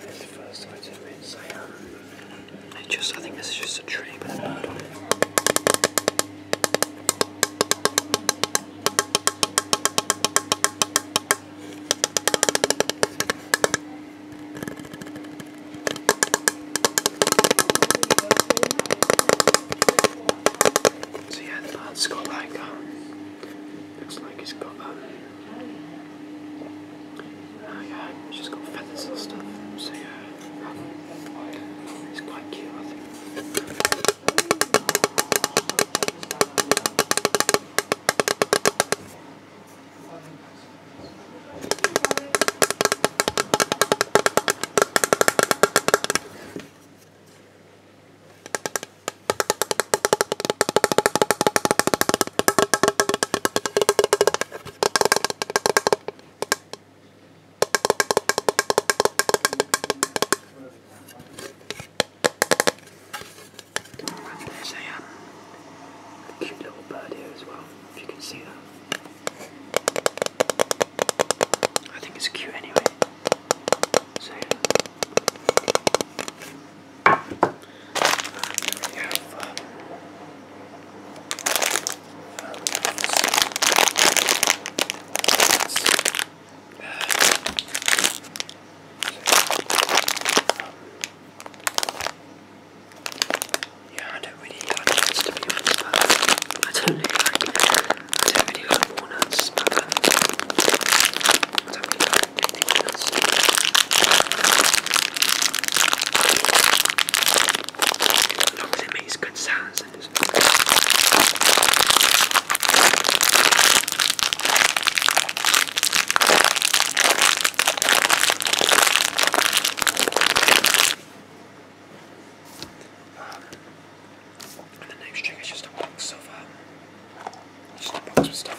That's the first item inside. I just, I think this is just a tree with a bird on it. So yeah, the bird's got like, um, looks like it's got um, Oh yeah, it's just got feathers and stuff. So yeah, it's quite cute, I think. There's a um, cute little bird here as well, if you can see that. I think it's cute anyway. So yeah we have yeah, I don't really like nuts to be honest. I I don't really like walnuts. I don't really like um, anything as long as it makes good sounds. the next trick is just a box of just a box of stuff.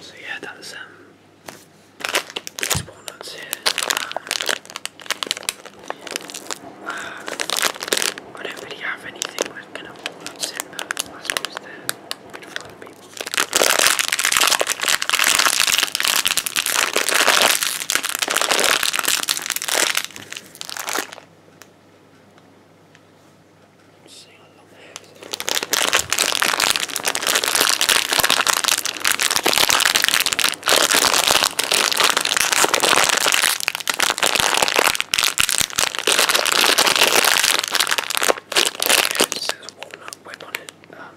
So yeah, that's um, walnuts here. I don't really have anything with walnuts in, but I suppose they're good sing along This is walnut whip on it. Um,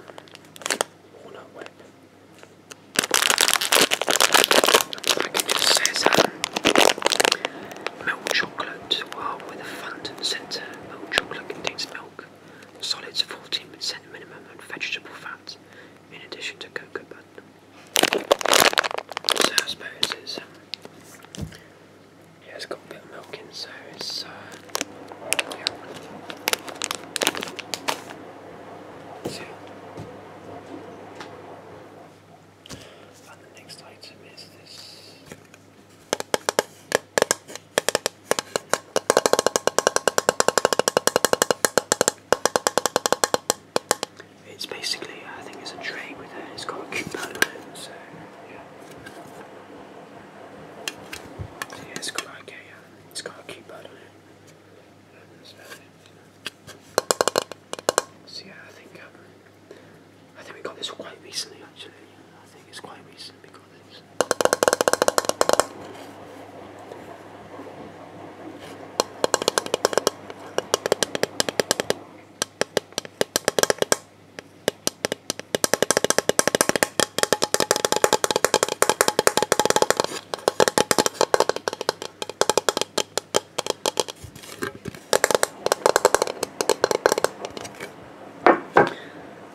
walnut whip. I can just say um, Milk chocolate. While with a fondant centre, milk chocolate contains milk, solids 14% minimum, and vegetable fat, in addition to cocoa butter. I suppose it's um, yeah, it's got a bit of milk in, so uh, yeah. And the next item is this. It's basically, I think it's a tray with it. It's got a coupon on it, so yeah. it's got a, uh, it's it. So yeah, I think um, I think we got this quite recently actually. I think it's quite recent because it's.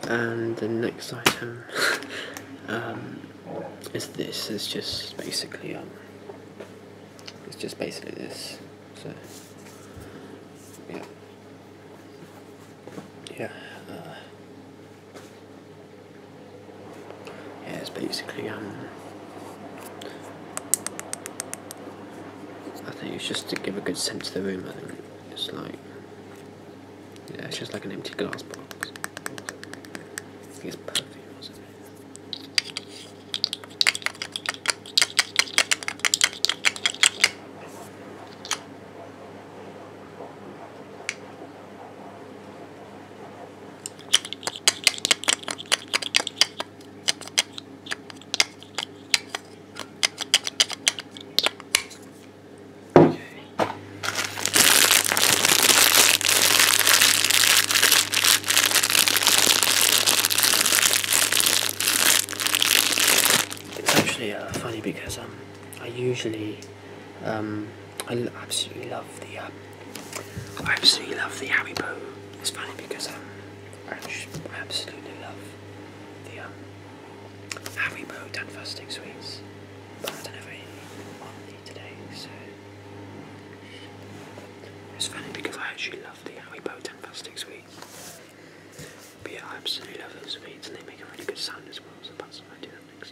And the next item um, is this. is just basically um, it's just basically this. So yeah, yeah, uh, yeah. It's basically um, I think it's just to give a good sense of the room. I think it's like, yeah, it's just like an empty glass box. it's perfume it's actually uh, funny because um, I usually um, I absolutely love the um, I absolutely love the Haribo. It's funny because um, I absolutely love the um, Haribo Dan plastic Sweets, but I don't have any on me today, so it's funny because I actually love the Haribo Dan plastic Sweets. But I absolutely love those sweets and they make a really good sound as well, so perhaps I might do that next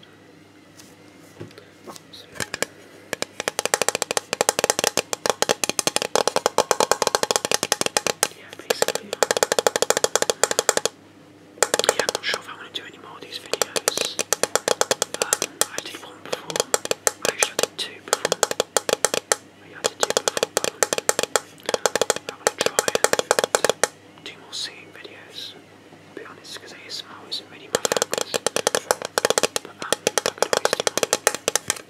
time. Yeah, basically. Yeah, I'm not sure if I want to do any more of these videos. Um, I did one before. Actually, I did two before. Yeah, I did two before, I'm, going to try and do more singing videos. be honest, because ASMR is really my focus. But um, I could always do more.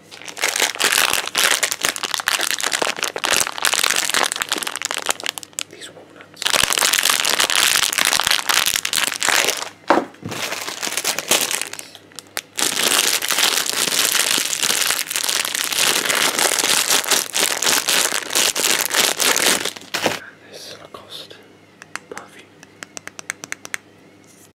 These walnuts. And this Lacoste perfume.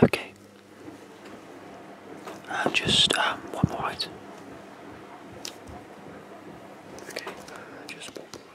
Okay. And just um, one more Okay, uh, just one more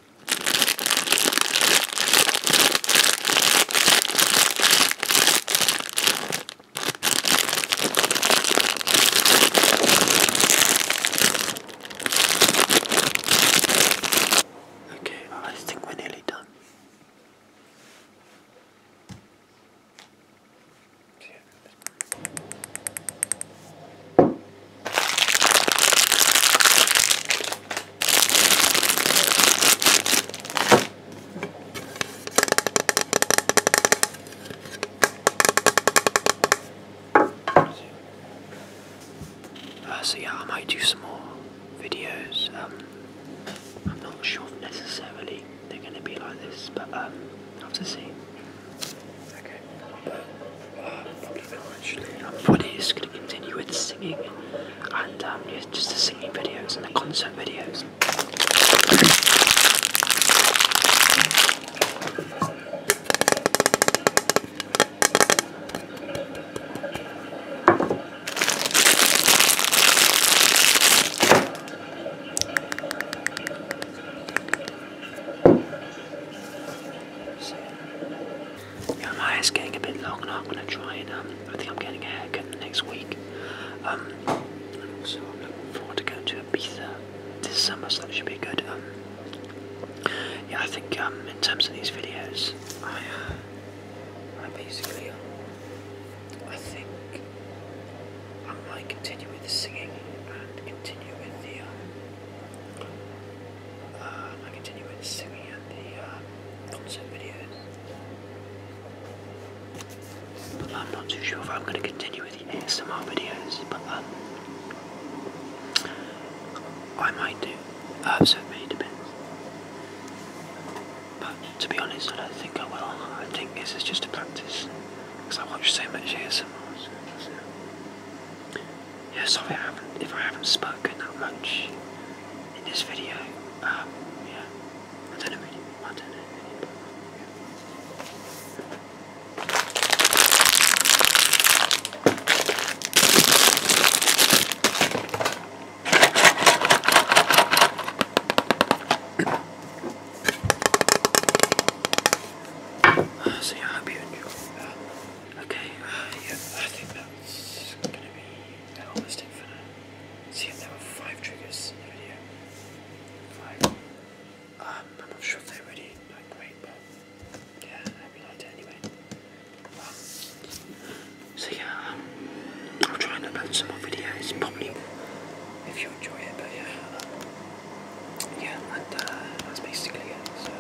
Okay, I think we're nearly done. Uh, so yeah, I might do some more videos. Um, I'm not sure if necessarily they're going to be like this, but um, I'll have to see. Okay. Uh, eventually. Um, Woody is going to continue with singing and um, just the singing videos and the concert videos. Yeah, my hair's getting a bit long, and I'm gonna try and um, I think I'm getting a haircut next week. Um, and also I'm looking forward to going to Ibiza this summer, so that should be good. Um, yeah, I think um, in terms of these videos, I, uh, I basically, I think I might continue with the singing and continue with the, um, uh, I continue with the singing the uh, concept videos. I'm not too sure if I'm going to continue with the ASMR videos, but um, I might do. Uh, so it really depends. But to be honest, I don't think I will. I think this is just a practice because I watch so much ASMR yeah, sorry if I haven't spoken that much in this video. Um, yeah, I don't know really, I don't know uh, so I hope you enjoy. Uh, okay, uh, yeah, it's gonna be an almost infinite. See, if there were five triggers in the video. Five. I'm not sure if they're really like great, but yeah, I hope you liked it anyway. Um, so yeah, i am trying to upload some more videos, probably if you enjoy it, but yeah. yeah, and that's basically it. So.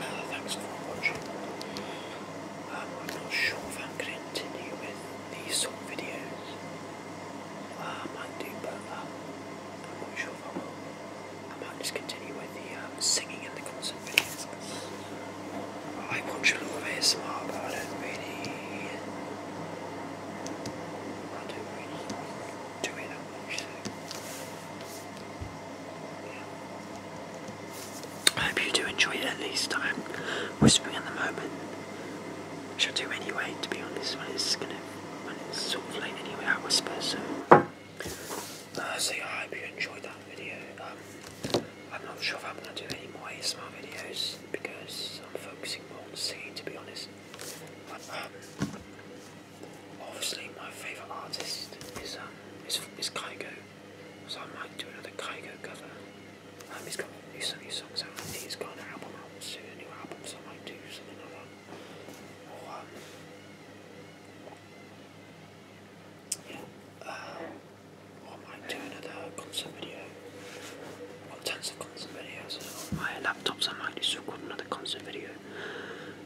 Ah, thanks for watching. Um, I'm not sure if I'm going to continue with these sort videos. Uh, I might do, but uh, I'm not sure if I will. I might just continue with the um, singing and the concert videos. I watch a lot of ASMR, but I don't really. I don't really do it that I hope you do enjoy it at least. I'm whispering at the moment, which I do anyway, to be honest, when it's gonna when it's sort of late anyway, I whisper so uh, so I hope you enjoyed that video. Um, I'm not sure if I'm gonna do any more ASMR videos because I'm focusing more on singing to be honest. Um, Obviously, my favourite artist is um is, is so I might do another Kygo cover. Um, he's got new, new songs out. He's got an album out soon, a new album, so I might do something Or um, yeah, uh, I might do another concert video. tons of concert videos on my laptops. I might just record another concert video.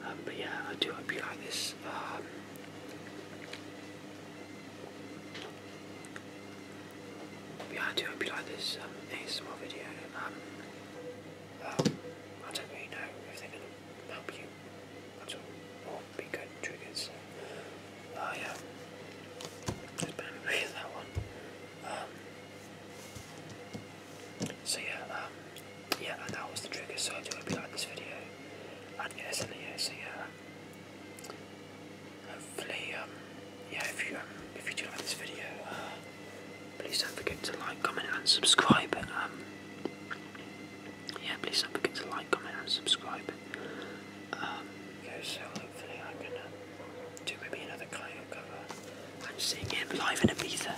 Um, but yeah, I do hope you like this. Um, yeah, I do hope you like this um, ASMR video. Um, I don't really know if they're going to help you at all or be good triggers. Oh, yeah. There's that one. Um, so, yeah, yeah, and that was the trigger, so I do a bit like this video. And yeah, so yeah, so yeah. Hopefully, um, yeah, if you um, if you do like this video, uh, please don't forget to like, comment, and subscribe. Um, yeah, please don't forget to like, comment, and subscribe. Um, so hopefully I'm gonna do maybe another Kaio cover. I'm seeing him live in Ibiza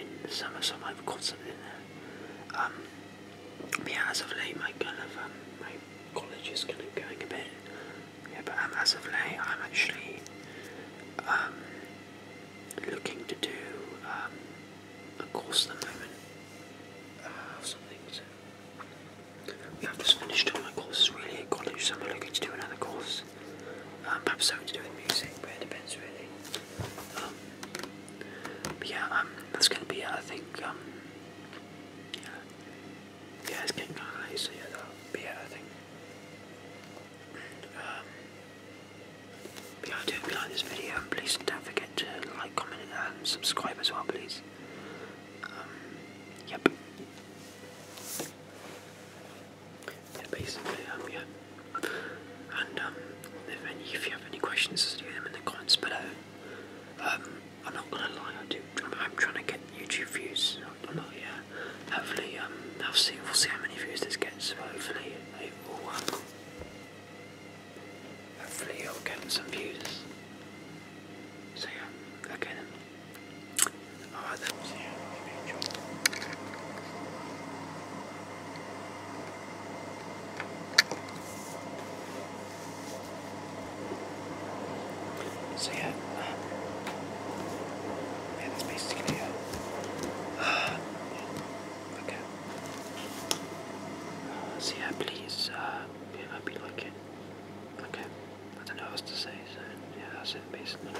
in the summer, so I have got something there. Um, but yeah, as of late, my kind of um, my college is kind of going a bit. Yeah, but um, as of late, I'm actually um, looking to do um, a course at the moment. Uh, some things. We have just finished all my courses really at college, so I'm looking to do another course. Um, perhaps something to do with music, but it depends really. Um, but yeah, um, that's gonna be it. Uh, I think. Um, yeah, yeah, it's getting kind of late, so yeah, that'll be it. I think. Um, but yeah, I do hope you like this video. Please don't forget to like, comment, and subscribe as well, please. Um, yep. Yeah, basically, um, yeah. And um, if you have any questions, do them in the comments below. Um, I'm not gonna lie, I do. I'm trying to get YouTube views. I'm not yeah. Hopefully, um, I'll see. We'll see how many views this gets. But hopefully, it will. Um, hopefully, it'll get some views. So yeah, okay then. Alright then. So yeah, ah, ah, yeah, that's basically it. okay. Uh, so please, yeah, I hope you like Okay, I don't know what to say, so yeah, that's it basically.